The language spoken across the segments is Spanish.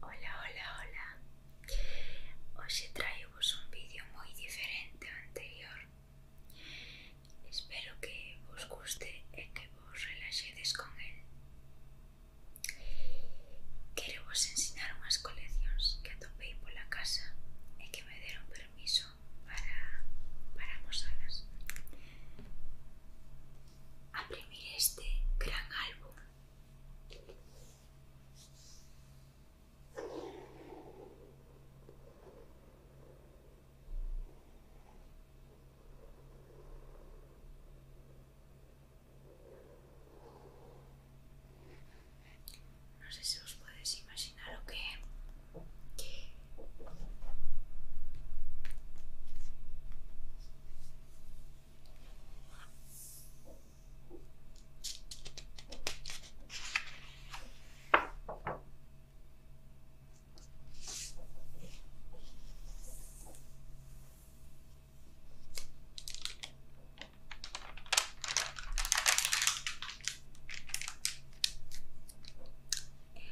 Hola, hola, hola Hoxe traivos un vídeo moi diferente ao anterior Espero que vos guste e que vos relaxedes con el Quero vos ensinar unhas coleccións que atopei pola casa E que me deron permiso para, para mosalas Abrimir este gran álbum No sé si os podéis imaginar o qué.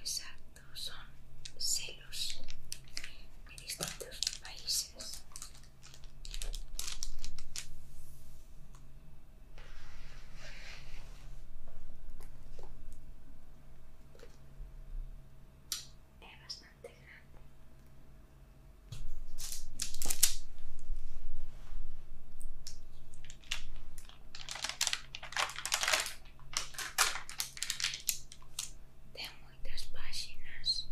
Exacto, son celos distintos países. Es bastante grande. tenemos páginas.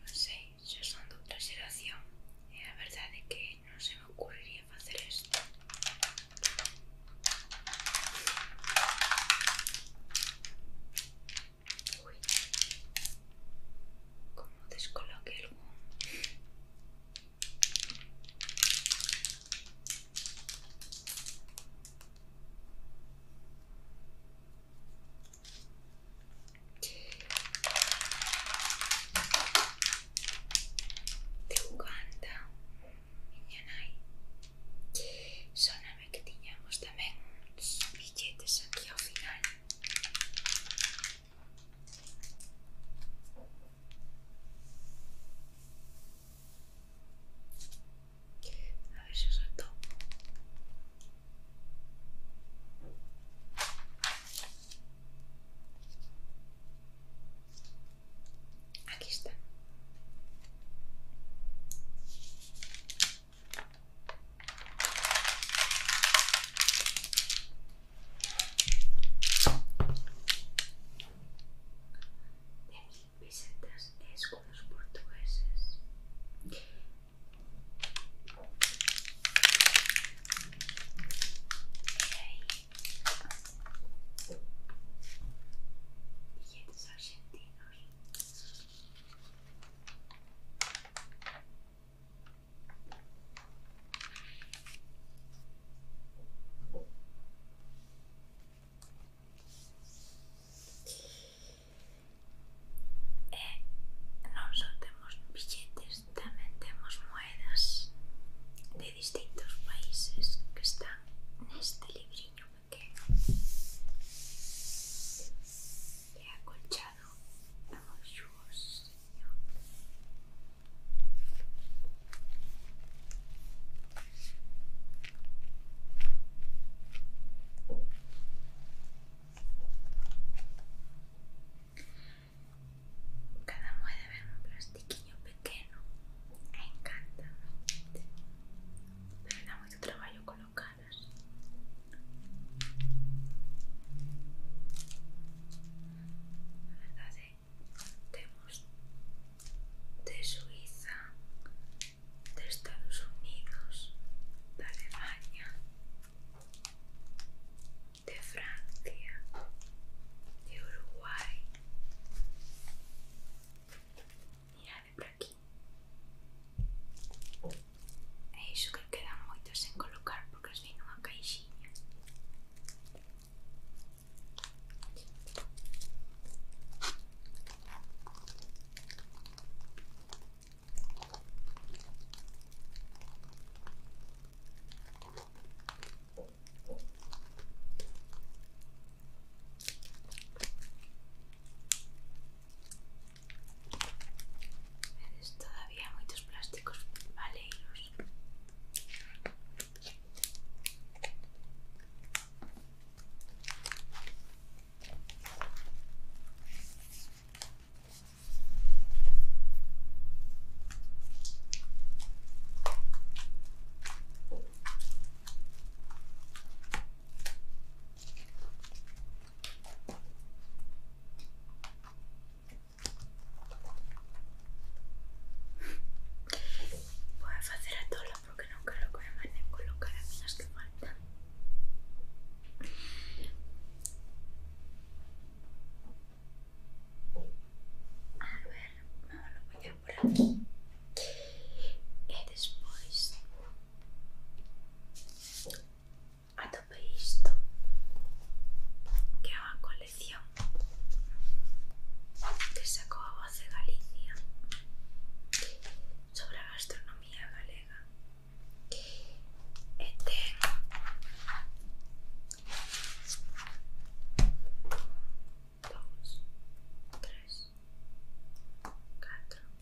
No sé, yo son de otra generación y la verdad es que no se me ocurriría hacer esto. Uy. como descoloque algún de Uganda miña nai soname que tiñamos tamén uns billetes aquí ao final A ver si os Aquí está. Mil pesetas es con los portugueses. Hey. Billetes argentinos. E eh, non só temos billetes, tamén temos moedas de distintos países que están neste libriño pequeno. se acolchado, colchado a su Cada mueve un plastiquillo pequeño. Me encanta, pero da mucho trabajo colocarlas. Na verdade, temos de Suiza, de Estados Unidos, de Alemanha, de Francia, de Uruguai. Mirade por aquí. Eso eh, que que quedan tos en colocar porque es vi una caixinha es todavía muchos plásticos vale Voy a hacer a todo porque no creo que me colocar a que faltan. A ver, no lo voy a por aquí. Y después a tope que colección que sacó a voz de Galicia sobre la gastronomía galega Este,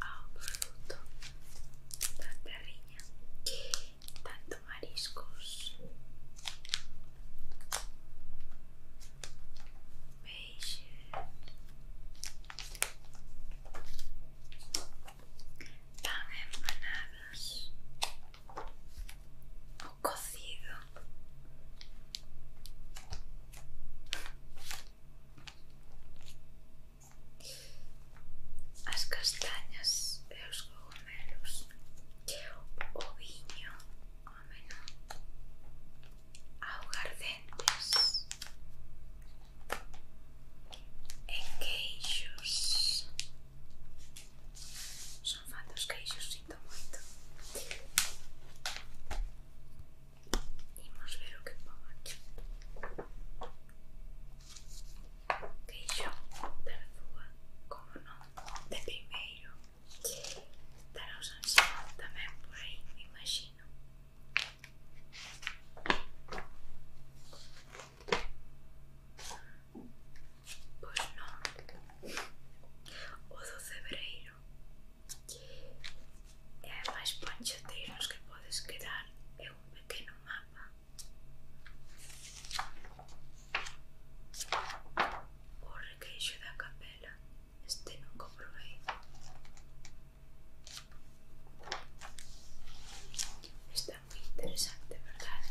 a bruto. tanta riña, tanto mariscos. Beige. Tan empanadas o cocido. as castañas e os cogumelos o viño ameno augardentes e queixos son fan dos queixos, sinto moito Imos ver o que pon aquí Queixón da Lúa como non de primeiro Dará o San Simón tamén por aí, me imagino Pois non O do Cebreiro É máis panchoteiros que podes quedar É um pequeno mapa. O requeixo da capela, este nunca provei. Está moi interesante, verdade?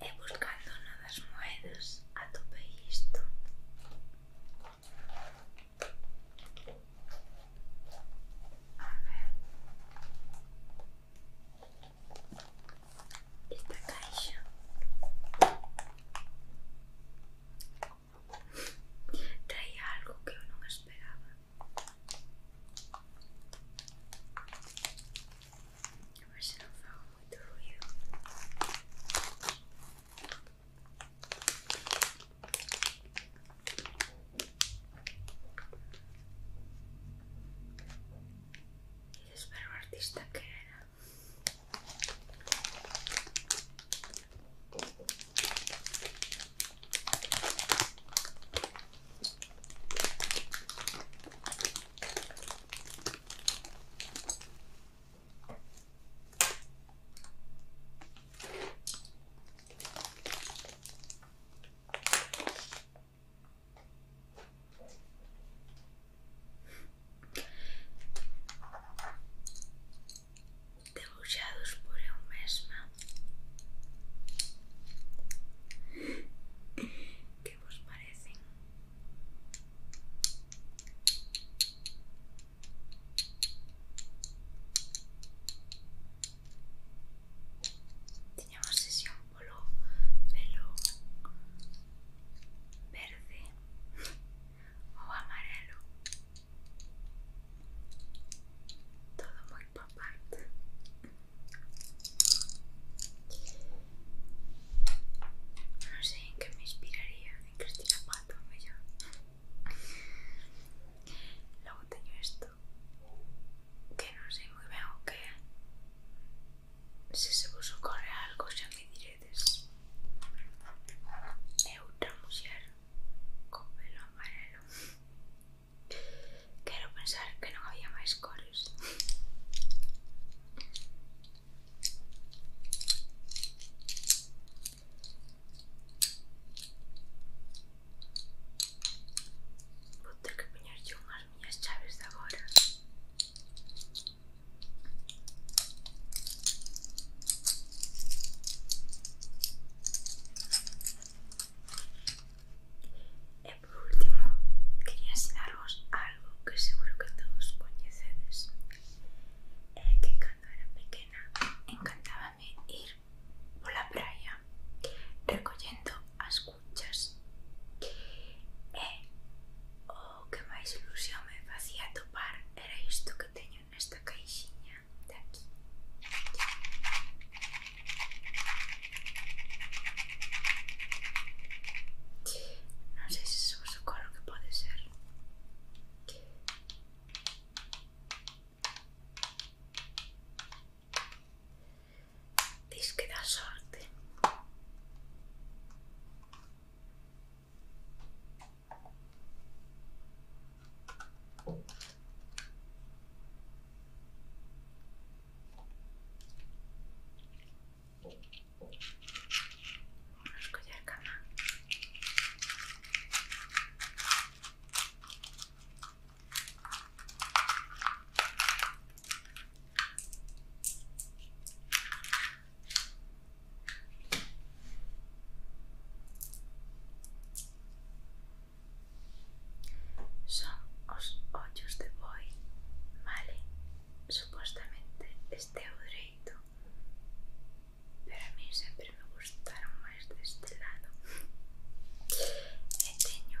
He buscando nuevas das a tope isto. A ver esta caixa traía algo que yo no esperaba a ver si no hago mucho ruido espero artista que era debuxados por el mesma que os parecen? no sé si un polo pelo verde o amarelo todo muy pop no sé en qué me inspiraría en Cristina Pato yo luego tengo esto que non sei moi ben o que é se se vos ocorre algo xa me diredes é outra muller con pelo amarelo quero pensar que non había máis cores Vou ter que poñerlle unhas y llaves chaves agora. y por último, quería enseñaros algo que seguro que todos coñecedes. Eh, que cuando era pequeña encantábame ir por la playa recogiendo as escuchas E eh, o oh, que máis ilusión me facía topar era isto que teño nesta caixinha de aquí Non sei se vos socorro que pode ser Disque da suerte. sorte. Vamos a cama. Son os ollos de boi, vale? Supostamente este é o dereito Pero a mí sempre me gustaron máis deste lado E teño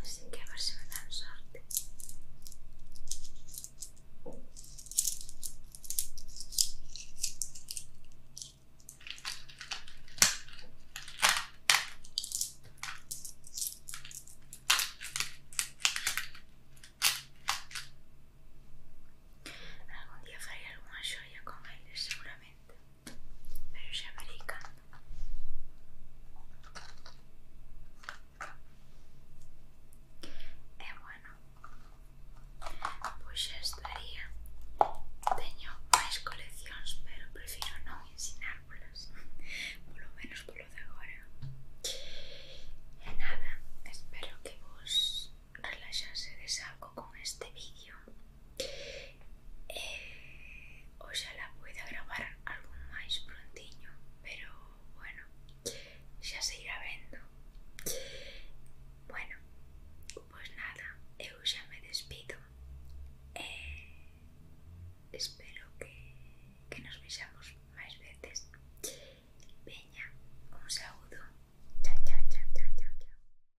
Así que a ver si me dan suerte. Algún día haré alguna joya con aire seguramente. Pero ya veré cuando. E bueno, pois xa estaría. Teño máis coleccións, pero prefiro non ensinárvolas, polo menos polo de agora. E nada, espero que vos relaxasedes algo con este vídeo. E eh, oxalá puida gravar algún máis prontiño, pero bueno, xa se irá vendo. Bueno, pois nada, eu xa me despido e eh, espero que, que nos vexamos máis veces. Veña, un saúdo. Chao, chao, chao, chao, chao, chao.